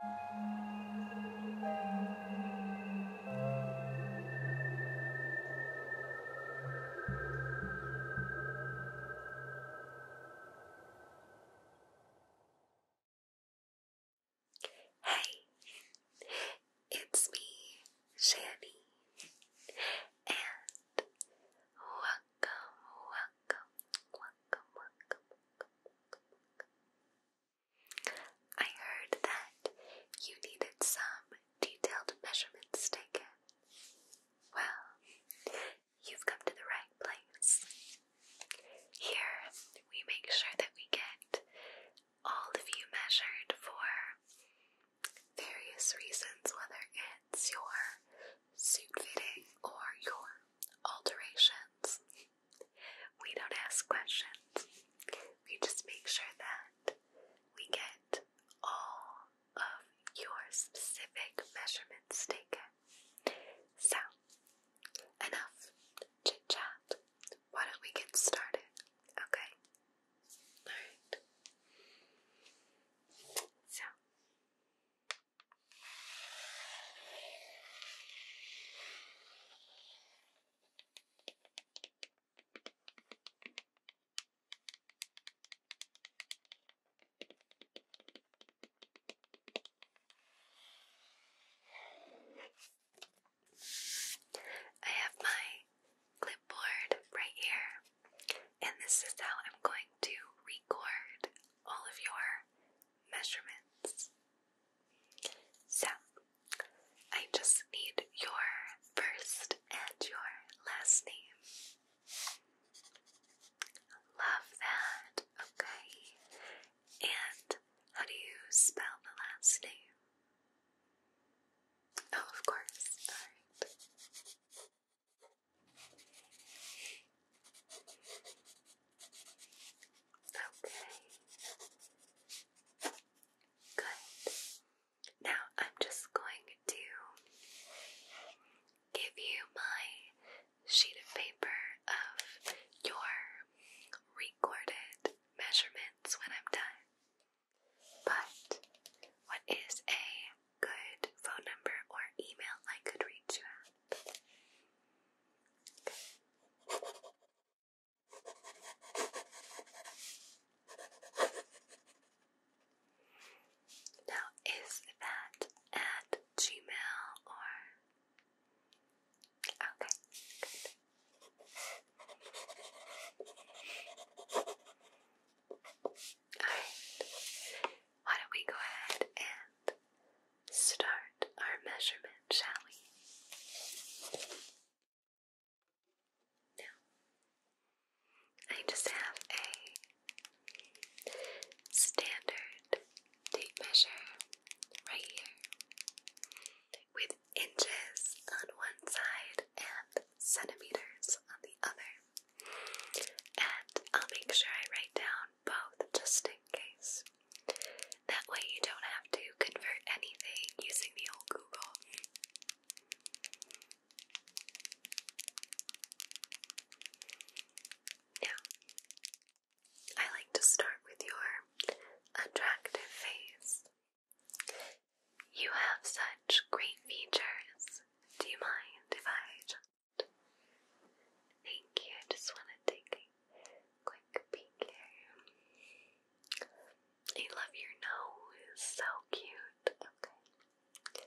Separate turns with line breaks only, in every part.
Hey, it's me, Shani, and welcome, welcome, welcome, welcome, welcome, welcome, welcome
I heard that you needed some detailed measurements taken. Well, you've come to the right place. Here, we make sure that we get all of you measured for various reasons, whether it's your suit fitting or your alterations. We don't ask questions. We just make sure that we get all of your specific measurements taken. So, enough chit chat. Why don't we get started? Okay? Alright. So, I have my clipboard right here, and this is how I'm going to record all of your measurements. So, I just need your first and your last name. Love that, okay. And how do you spell the last name? Oh, of course, alright. Okay. Good. Now I'm just going to give you my sheet of paper of your recorded measurements when I'm done. But what is a good phone number or email I could reach you at? Now, is that at Gmail or?
Okay, Alright, why don't we go ahead and
start our measurement, shall we?
Now, I just have a standard tape measure
right here with inches on one side and centimeters on the other. And I'll make sure I write down both just in case that way, you don't have to convert anything using the old Google. Now, I like to start with your attractive face. You have such great features. Do you mind if I Thank you. I just want to take Quick peek I love your nose, so cute. Okay.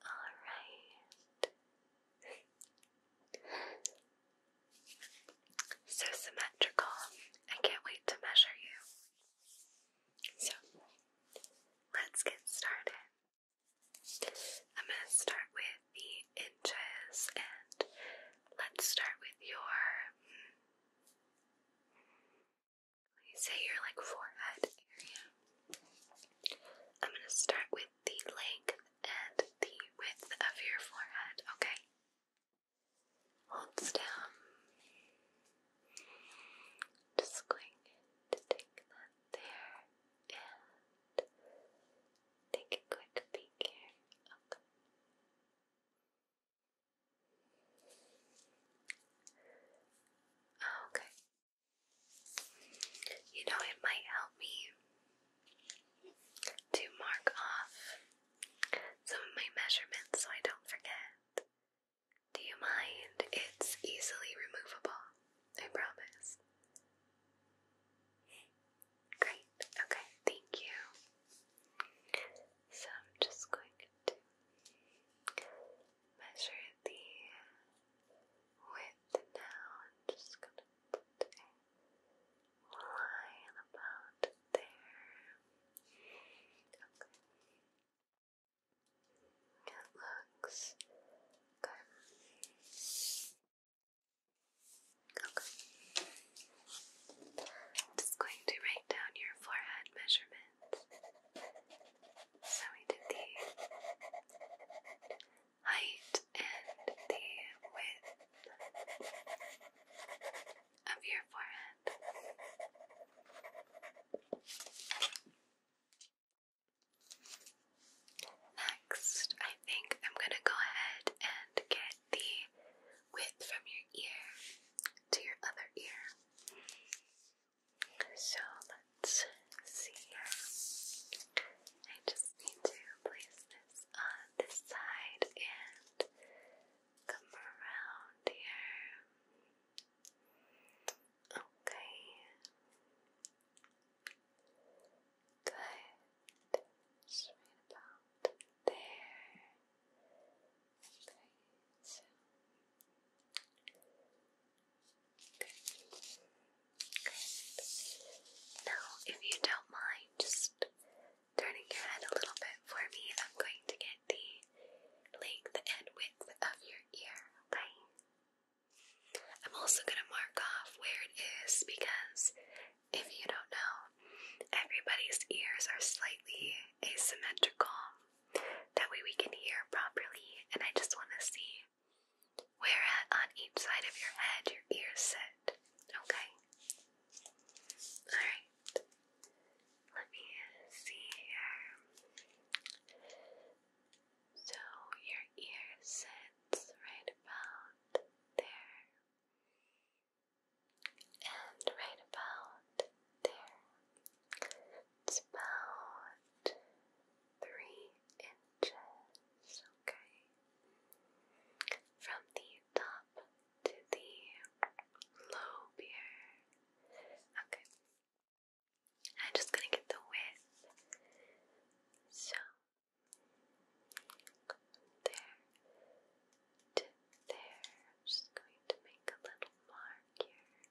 Alright. So symmetrical. I can't wait to measure you. So, let's get started. I'm going to start with the inches, and let's start with your. You say your like forehead area. I'm gonna start with the length and the width of your forehead. Okay.
Holds down. Just going to take that there and take a quick peek here. Okay.
Oh, okay. You know, it might help me to mark off some of my measurements so I don't forget. Do you mind? It's easily removable, I promise. Great, okay, thank you. So I'm just going to measure the width now. I'm just going to put a line about there. Okay. It looks good just going to write down your forehead measurement. So we do the height and the width of your forehead. Next, I think I'm going to go ahead and get the width from your ear to your other ear. So let's see here. I just need to place this on this side and come around here. Okay. Good about there. Okay, Now, if you don't mind, just turning your head a little bit for me. I'm going to get the length and width of your ear. Okay. I'm also gonna mark off where it is because if you don't know, everybody's ears are slightly asymmetrical. That way we can hear properly, and I just want to see where on each side of your head your ears sit. Okay? Alright. Let me see here. So your ear sits right about there and right about there. It's about three inches, okay?
From the top to the lobe here. Okay. I'm just gonna get the width. So there there. I'm just going to make a little mark here.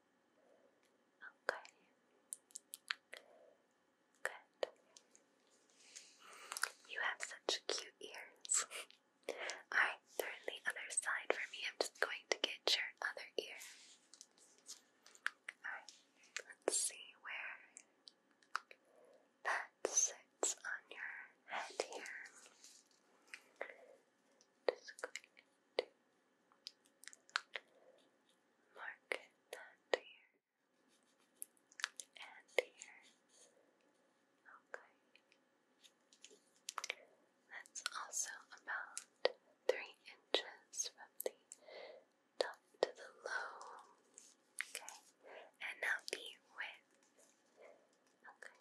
Okay. Good. You
have such cute ears. Alright, turn the other side for me. I'm just going to get your other ear. Alright, let's see where
that sits on your head here. Just going to mark that here and here. Okay. That's also about
three inches from the top to the low. Okay. And now the width Okay.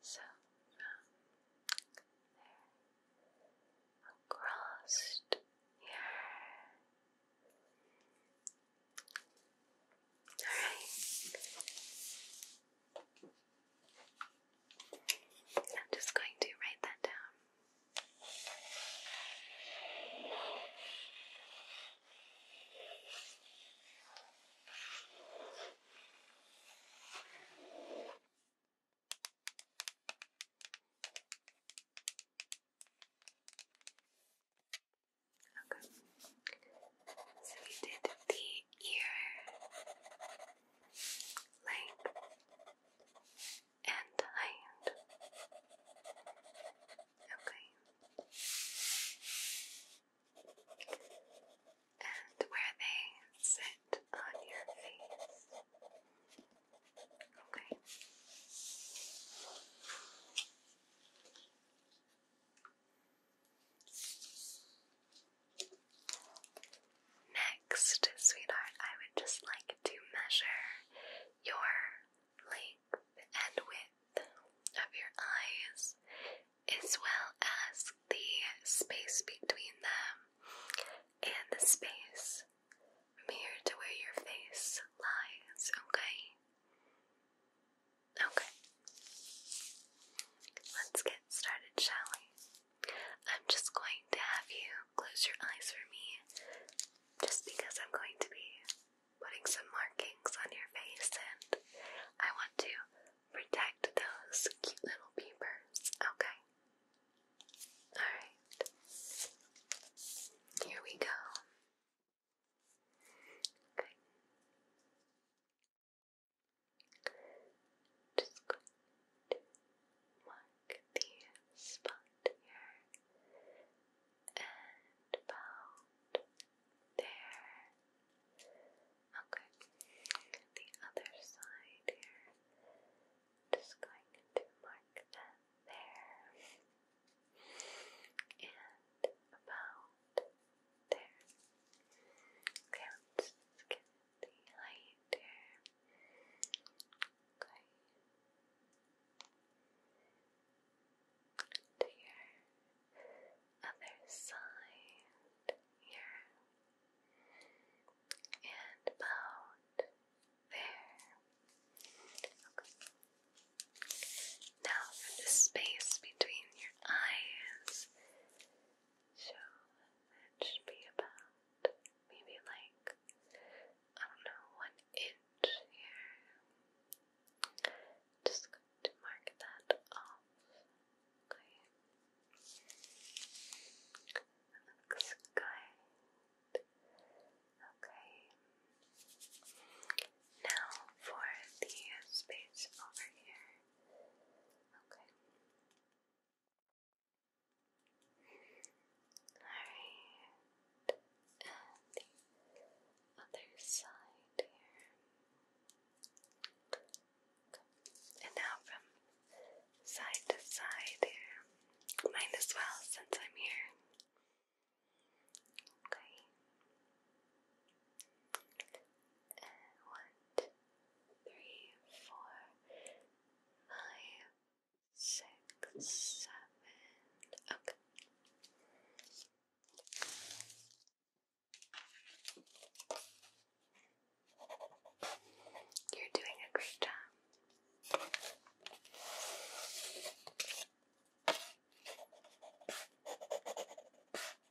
So um, there
across here. Alright. I'm just going to write that down. Okay. So we did the ear length and height. Okay. And where they sit on your face. Okay.
Next, sweetheart, I would just like to measure your length and width of your eyes, as well as the space between them and the space near to where your face lies, okay? Okay. Let's get started, shall we? I'm just going to have you close your eyes for me just because I'm going to be putting some markings on your face, and I want to protect those cute little peepers, okay? Alright.
Here we go. Okay. Just going to mark the spot here and about there. Okay, the other side here.
Just going to mark that there. And about there. Okay, let's get the height here. Okay to your other side here and about there. Now, for the space between your eyes, so that should be about maybe like I don't know one inch here. Just going to mark that off. Okay. Looks good. Okay. Now for the space over here. Okay. Alright and the other side here. And now from side to side here. Might as well since I'm here. Okay. And Okay. You're doing a great job.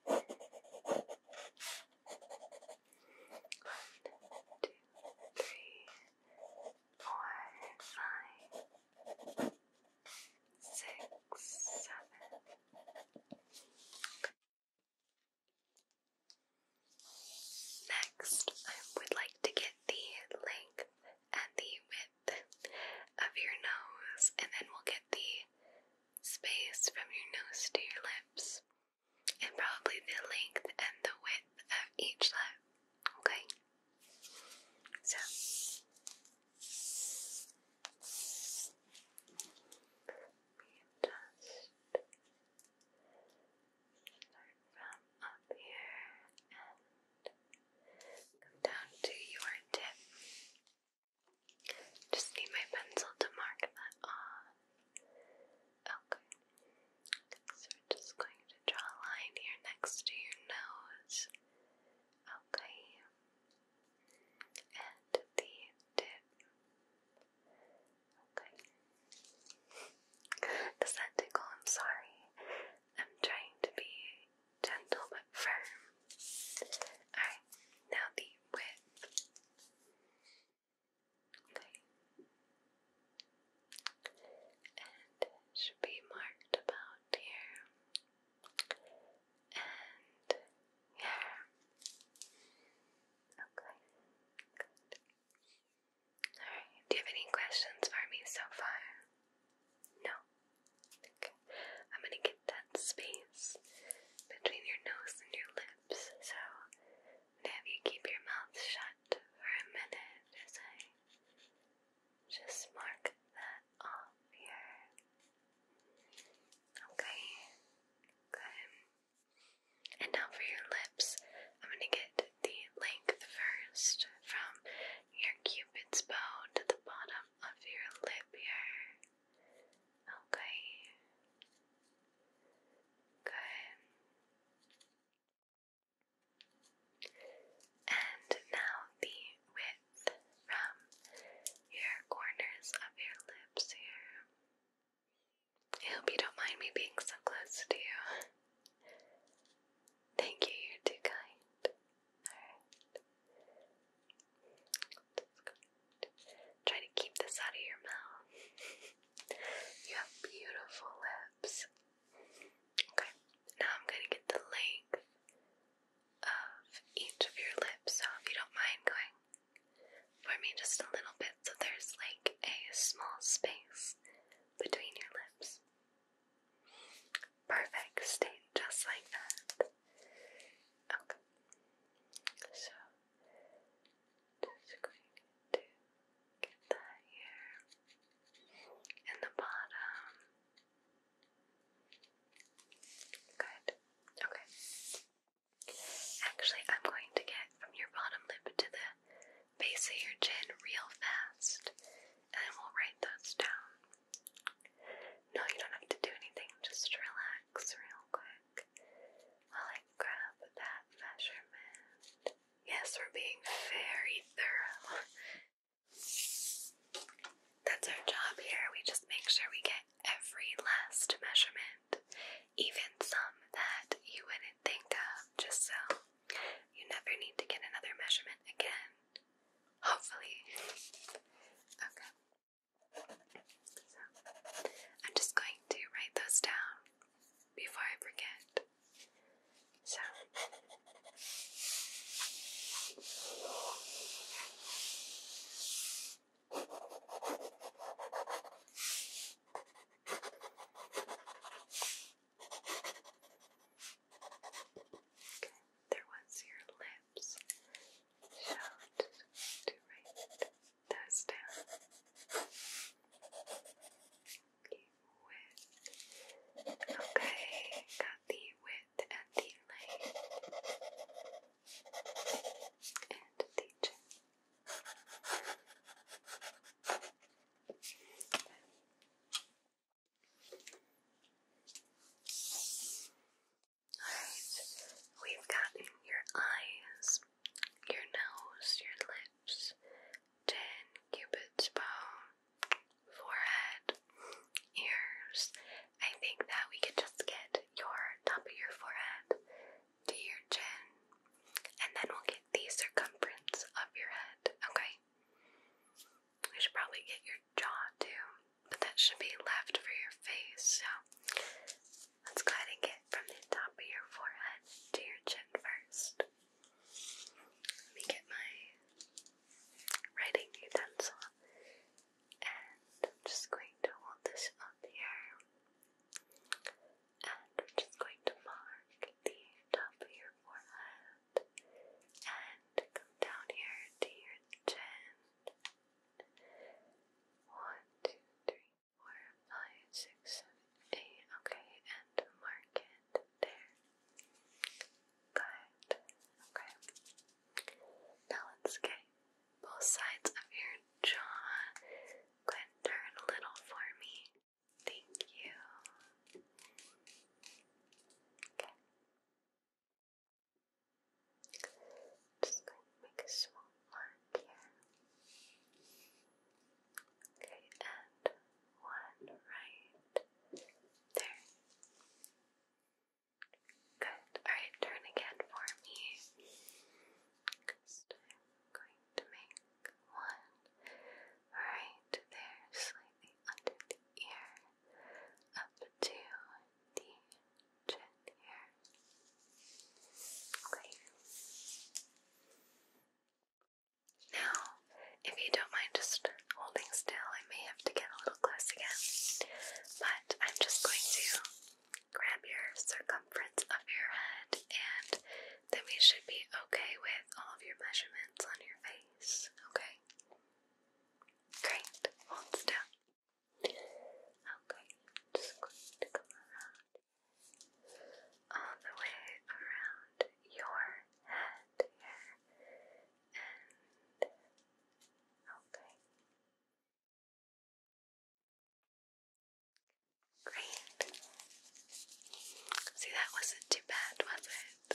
One, two, three, four, five, six, seven. Next, I would like to get the length and the width of your nose, and then we'll get the space from your nose to your lips, and probably the length and the width of each lip. Okay? So we start from
up here and come down to your tip.
Just need my pencil to mark that on. Okay. So we're just going to draw a line here next to your nose. Okay. And the tip. Okay. Does that tickle? I'm sorry. I'm trying to be gentle but firm. Alright, now the width. Okay. And should be marked about here. And here. Okay. Good. Alright, do you have any questions for me so far? No? Okay. I'm gonna get that space between your nose and your lips, so I'm gonna have you keep your mouth shut for a minute as I just mark that off here. Okay, good. And now for your lips, I'm going to get the length first from your cupid's bow to the bottom of your lip here. Okay, good. And now the width from your corners of your lips here. I hope you don't mind me being so close to you. Thank you, you're too kind. Alright. Try to keep this out of your mouth. you have beautiful lips. Okay, now I'm going to get the length of each of your lips. So if you don't mind going for me just a little bit, so there's like a small space between your lips. Perfect, stay just like that. Okay. So just going to get that here in the bottom. Good. Okay. Actually, I'm going to get from your bottom lip to the base of your chin real fast, and we'll write those down. No, you don't have to do anything, just relax real quick while I grab that measurement. Yes, we're being very thorough. That's our job here. We just make sure we get every last measurement, even some that you wouldn't think of, just so you never need to get another measurement again. Hopefully. Okay. I'm just going to write those down before I forget.
So, there
was your lips. Shout to write
those down. Okay, got the with. And the leg and the
chin. Alright, we've gotten your eyes, your nose, your lips, ten cubits bow, forehead, ears. I think that we could just get your top of your forehead to your chin, and then we'll get the circumference of your head, okay? We should probably get your jaw too, but that should be left for your face, so let's go ahead and get from the top of your forehead to your chin first. Let me get my writing utensil and I'm just going to hold this up here, and I'm just going to mark the top of your forehead, and come down here to your chin. One, two, three, four, five, six, seven, eight. Okay, and mark it there. Good. Okay. Now let's get both sides of your jaw. Go and turn a little for me. Thank you. Just going to make a small mark here.
Okay, and one right there. Good. Alright, turn again for me. This i going to make one right there, slightly under the ear, up to the chin here. Okay. Now,
if you don't mind just holding still, I may to get a little close again, but I'm just going to grab your circumference of your head, and then we should be okay with all of your measurements on your face, okay? Great, hold still. Okay, just going to come around all the way around your
head here, and okay. Great. See, that wasn't too bad, was it?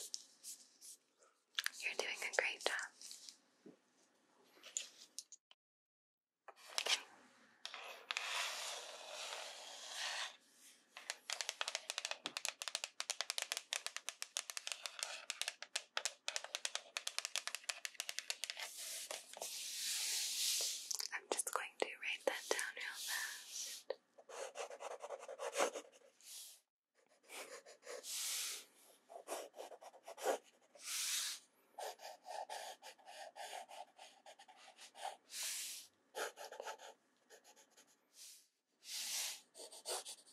You're doing a great job. I'm just going to write that down real fast.
Okay.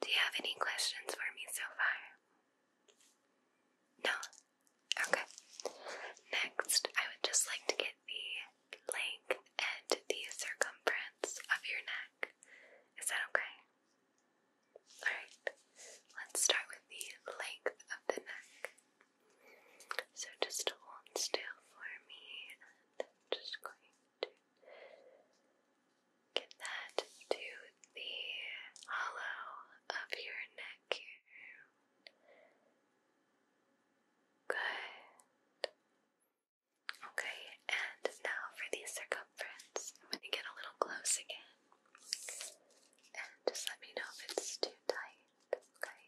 Do you have any questions for me so far? No? Okay. Next, I would just like to get the length and the circumference of your neck. Is that okay? Alright, let's start with the length of the neck. So just hold still for me,
just going to
get that to the hollow of your neck here. Good. Okay, and now for the circumference. I'm going to get a little close again. And just let me know if it's too tight, okay?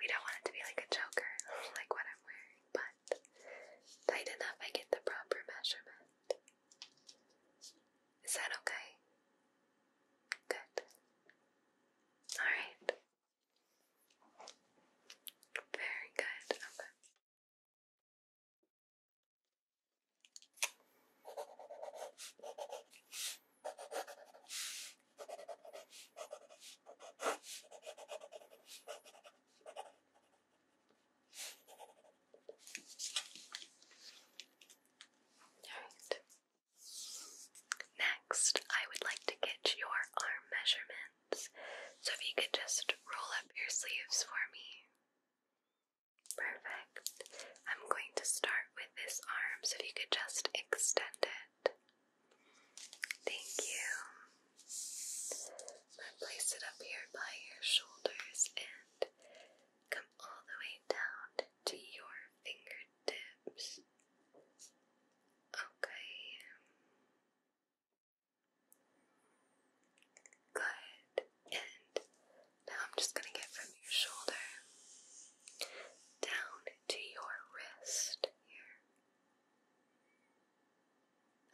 We don't want it to be like a choker, like what I'm wearing, but tight enough I get the proper measurement. Is that okay?
Good. Alright. Very good. Okay. Alright.
Next, I would like to get your arm measurement. So if you could just roll up your sleeves for me. Perfect. I'm going to start with this arm, so if you could just extend it. Thank you. place it up here by your shoulders and come all the way down to your fingertips. Okay.
Good. And now I'm just going to get from your shoulder down to your wrist here.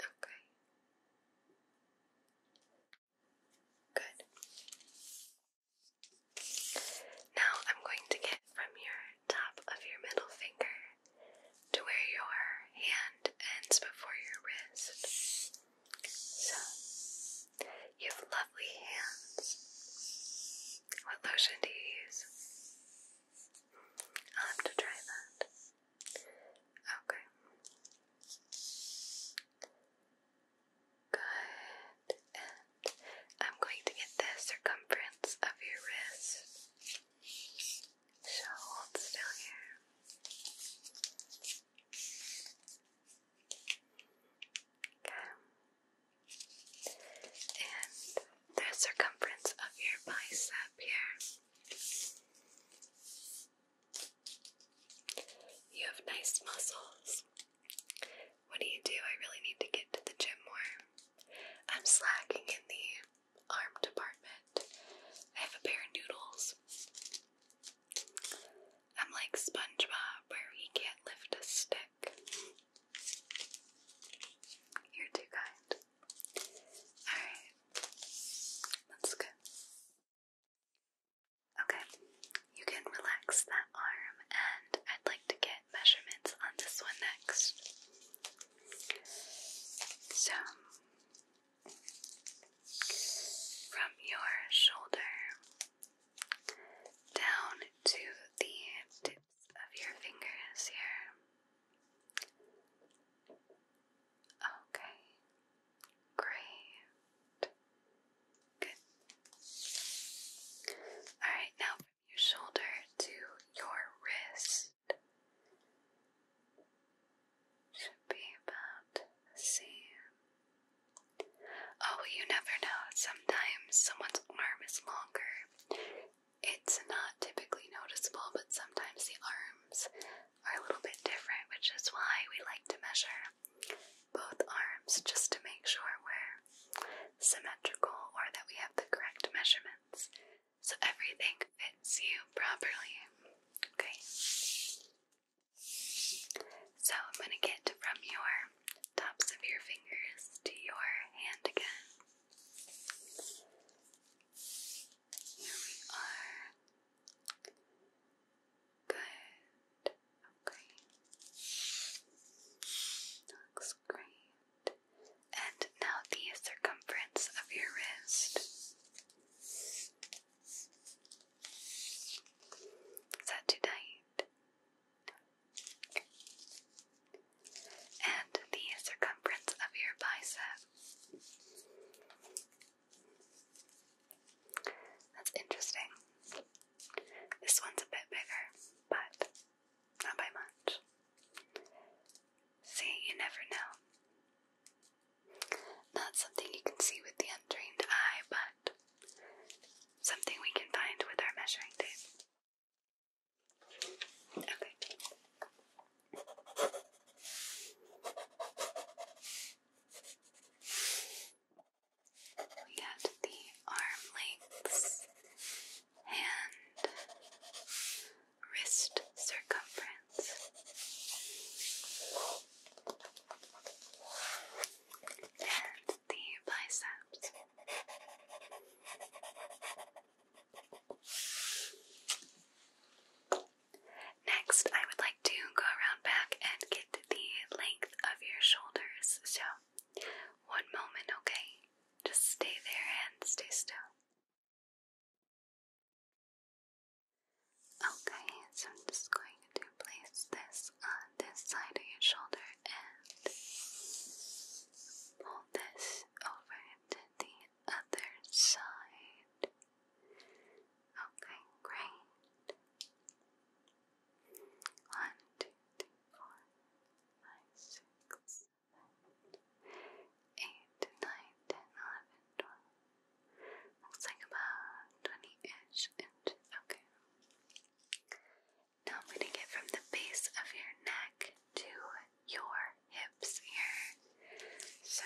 Okay. Good. Now I'm going
to get from your top of your middle finger to where your hand ends before your wrist. you have lovely hands. What lotion do you use? I'll have to try that. Okay. Good. And I'm going to get the circumference of your wrist. So hold still here. Okay. And the circumference of your bicep here. You have nice muscles. What do you do? I really need to get to the gym more. I'm slacking in the arm department. I have a pair of noodles. I'm like SpongeBob, where he can't lift a stick. You're too kind. Alright, that's good. Okay, you can relax that arm, and I'd like to get measurements on this one next. So, from your shoulder down to the tips of your fingers here. Okay, great. Good. Alright, now from your shoulder to your wrist. Should be about the same. Oh, you never know. Sometimes someone's arm is longer. It's not typically noticeable, but sometimes the arms are a little bit different, which is why we like to measure both arms just to make sure we're symmetrical or that we have the correct measurements so everything fits you properly. Okay. So I'm going to get from your tops of your fingers to your hand again. Here we are. Good. Okay. looks great and now the circumference of your wrist. Is that too And the circumference of your bicep. That's interesting. This one's a bit bigger, but not by much. See, you never know. Not something you can see with the untrained eye, but something we can find with our measuring tape. Okay. We got the arm lengths, hand, wrist circumference. And the biceps. Next, I would like to go around back and get the length of
your shoulders. So, one moment, okay? Just stay there and stay still. Okay, so I'm just going to place this on this side of your shoulder and pull
this over to the other side. Okay, great. One, two, three, four, five, six, 8, 9, Looks like about 20-ish inches. Okay. Now I'm going to get from the base of your neck to your hips here. So,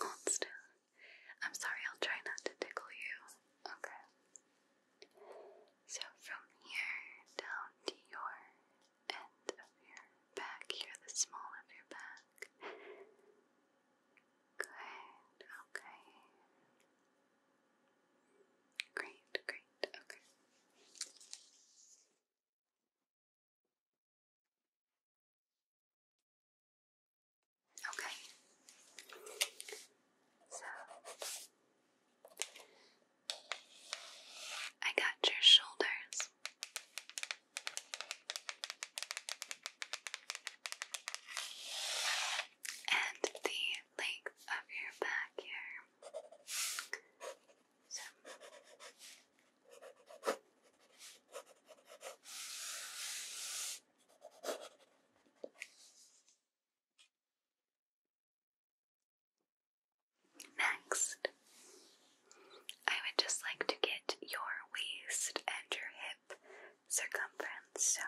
hold still. I'm sorry, I'll try not to tickle you. Okay. So, from here down to your end of your back here, the small of your back. Good, okay. Great, great, okay. Okay. So I got your shoulders
and the length of your back here. Next,
I would just like to get your waist and your hip circumference. So,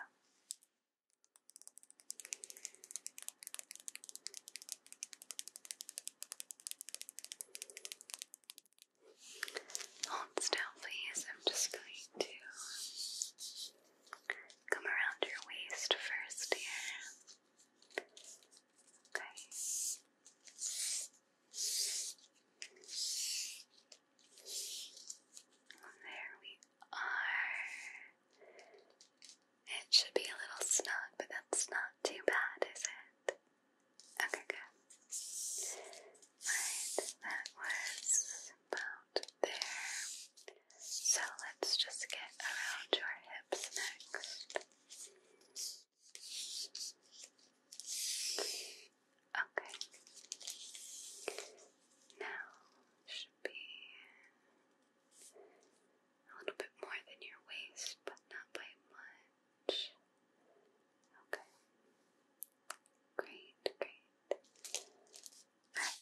hold still, please. I'm just going
to come around your waist first here. Okay. There we are. It should be a little snug, but that's not too bad, is it? Okay, good. Alright, that was about there. So let's just get around your hips next. Okay. Now should be a little bit more than your waist, but not by much. Okay. Great, great. Alright.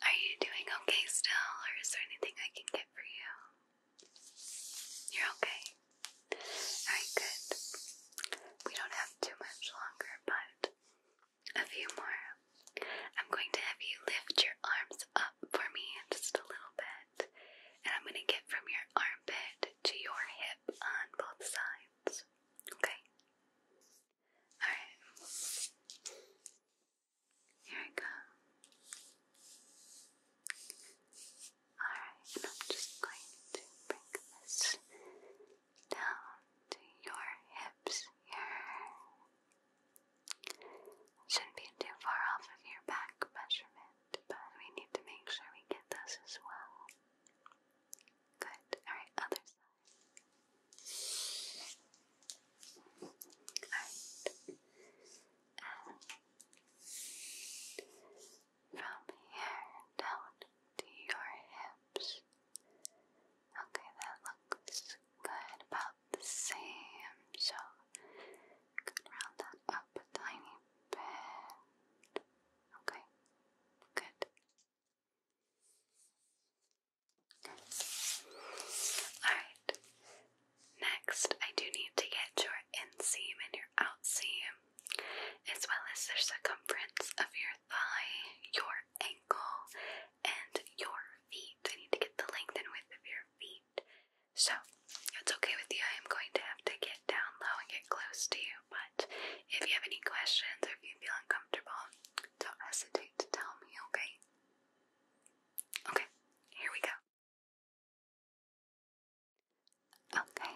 Are you doing okay still, or is there anything I can get for you? You're okay. Alright, good. We don't have too much longer, but a few more. I'm going to have you lift your arms up for me just a little bit, and I'm going to get from your armpit to your hip on both sides. Okay? Alright. Here I come. Alright, and I'm just going to bring this down to your hips here. Shouldn't be too far off of your back measurement, but we need to make sure we get this as well. Good. Alright, other side. And from here down to your hips. Okay, that looks good, about same. So, could that up a tiny bit. Okay, good. Alright. Next, I do need to get your inseam and your outseam, as well as the circumference of your thigh, your ankle, and your feet. I need to get the length and width of your feet. So, it's okay with you, I am going to have to get down low and get close to you, but if you have any
questions or if you feel uncomfortable, don't hesitate to tell me, okay? Okay, here we go. Okay,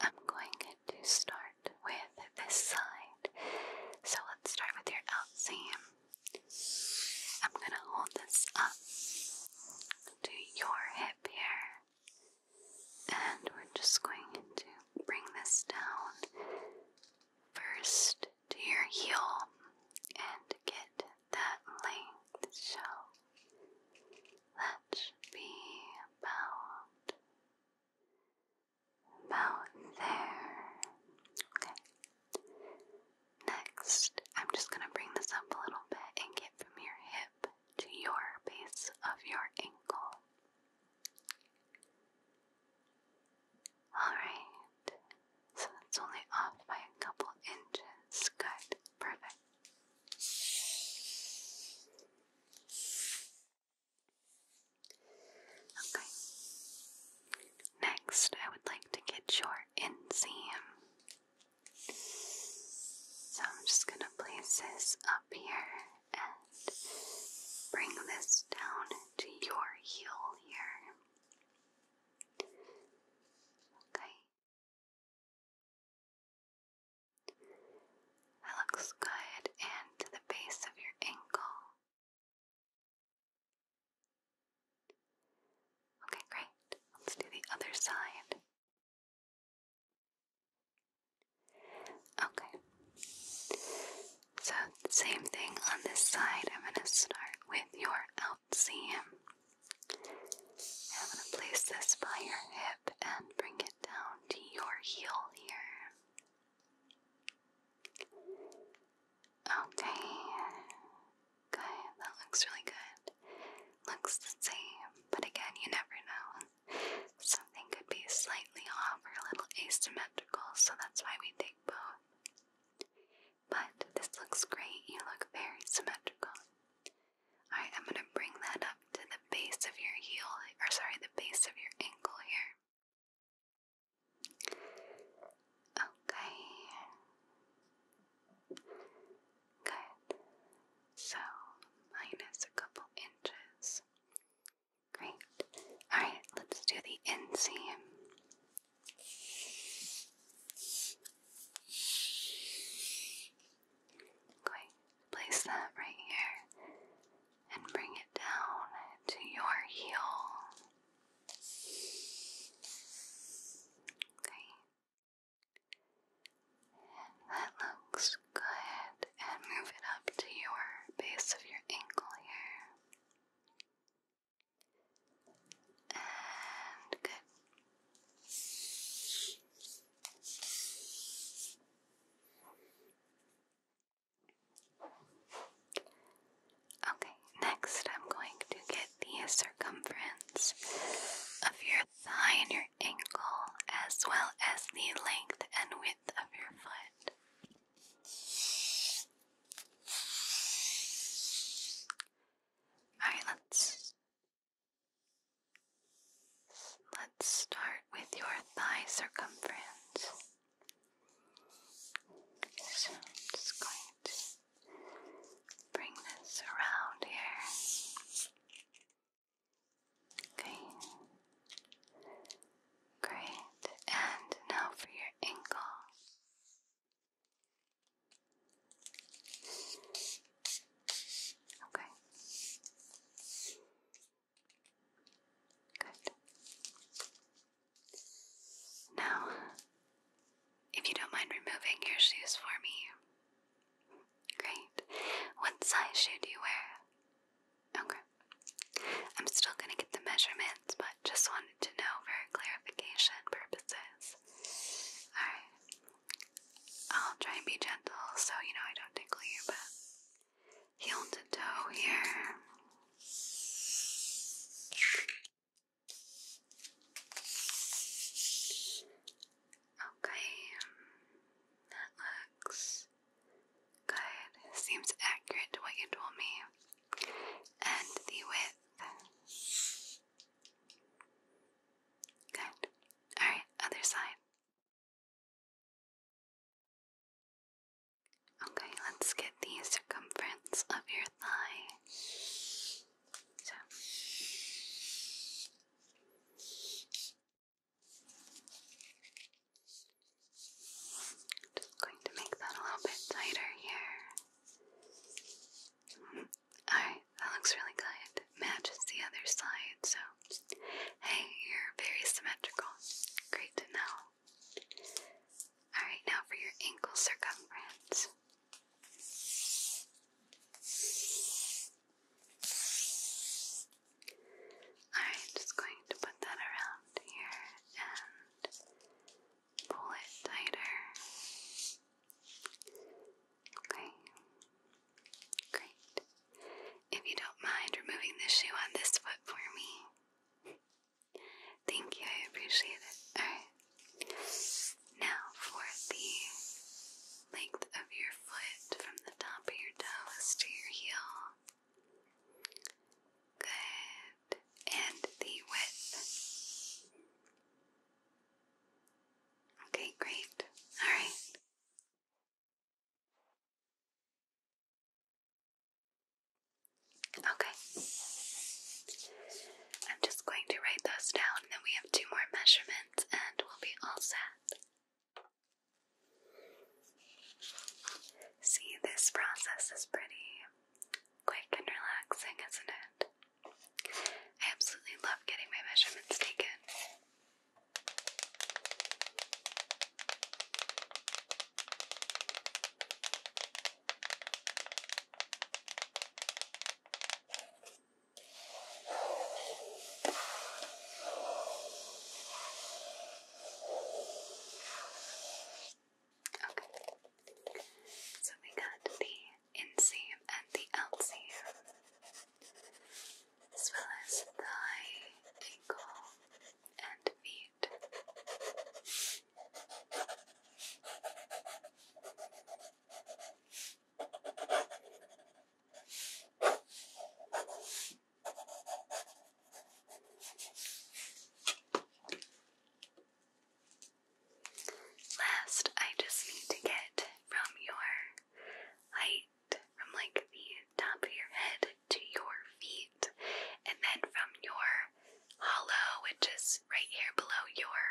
I'm going to start with this side.
So let's start with your out seam. I'm going to hold this up to your hip here. And we're just going to bring this down first to your heel and get that length. So that should be about about there. Okay. Next, I'm just gonna bring this up a little bit and get from your hip to your base of your ankle. Alright, so that's only off by a couple inches. Good,
perfect. Okay. Next, I would
like to get your inseam. So I'm just going to place this up here and bring this down
to your heel here. Okay. That looks good. And the base of your ankle. Okay, great. Let's do the other side.
Okay. So, same thing on this side. I'm going to start with your out seam. I'm going to place this by your hip and bring it down to your heel here. Okay. Good. That looks really good. Looks the same, but again, you never know. Something could be slightly off or a little asymmetrical, so that's why we take both. But this looks great. You look very symmetrical. Alright, I'm going to bring that up to the base of your heel, or sorry, the base of your ankle here. Okay. Good. So, minus a couple inches. Great. Alright, let's do the inseam. I'm going to place that right here and bring it down to your heel. Okay. that looks good. And move it up to your base of your ankle here. Okay, next I'm going to get the circumference of your thigh and your ankle, as well as the length and width of your foot. All right, let's let's start with your thigh circumference. So just going to bring this around here. Okay.
Great. And now for your ankle. Okay.
Good. Now, if you don't mind removing your shoes for me. Great. What size shoe do you wear? Okay. I'm still gonna get the measurements, but just want to know for clarification purposes. Alright. I'll try and be gentle so you know I don't tickle you, but heel to here. Okay, that looks good. Seems accurate what you told me and the width.
Good. Alright, other side. Okay, let's get the circumference of your thigh. So.
Just going to make that a little bit tighter here. Alright, that looks really good. Matches the other side, so hey, you're very symmetrical. Great to know. Alright, now for your ankle circumference. Alright, just going to put that around here and pull it tighter. Okay, great. If you don't mind removing the shoe on this foot for me. Thank you, I appreciate it. Alright. Now for the length of your foot from the top of your toes to your heel. Good and the width.
Okay, great. All right. Okay.
I'm just going to write those down, then we have two more measurements, and we'll be all set. See, this process is pretty quick and relaxing, isn't it? I absolutely love getting my measurements taken. Okay. So we got the inseam and the outseam, as
well as thigh, ankle, and feet.
Last, I just need to get from your height, from like the top of your head to your feet, and then from your hollow, which is right here below your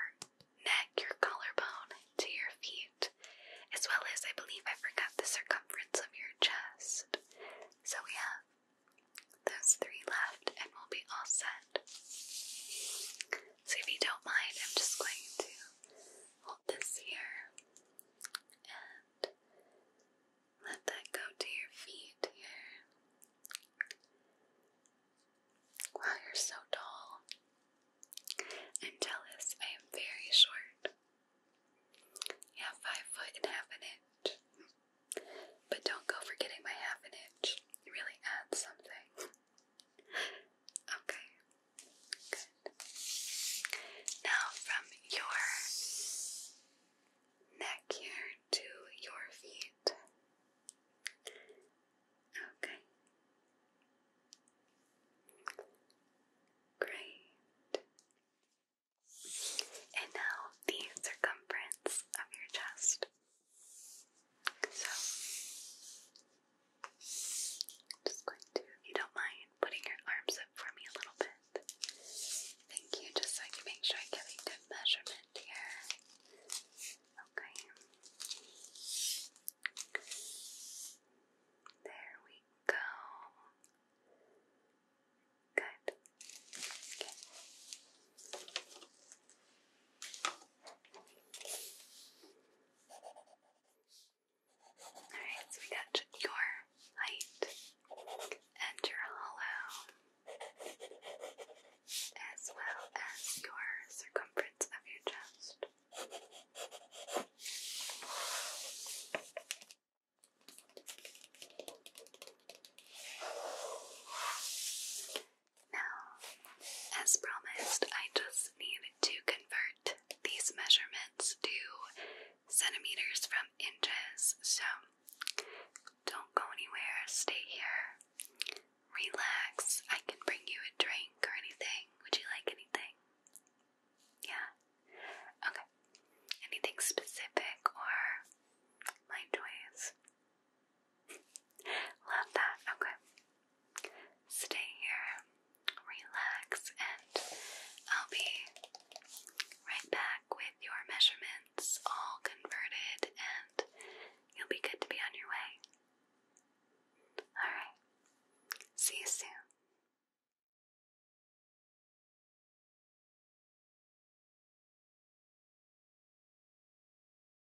neck, your collarbone, to your feet, as well as I believe I forgot the circumference of your chest. So we have those three left, and we'll be all set. So, if you don't mind, I'm just going to hold this here and let that go to your feet here. Wow, you're so tall. I'm jealous. I am very short. Yeah, five foot and half an inch. But don't go for my half an inch. really adds something. Okay, good. Now, from your neck here to your feet. Okay. Great. And now the circumference of your chest. So, I'm just going to, you don't mind, putting your arms up for me a little bit. Thank you, just so I can make sure I get a good measurement here. Okay. There we go.
Good. Okay. Alright, so we got
your height and your hollow, as well as your circumference of your chest. Now, as promised, I just need to convert these measurements to centimeters from inches. So, don't go anywhere, stay here, relax. I can bring you a drink or anything. Would you like anything? Yeah? Okay. Anything specific or my choice? Love that. Okay. Stay here, relax, and I'll be right back with your measurements all converted, and you'll be good to be on your way.
Alright. See you soon.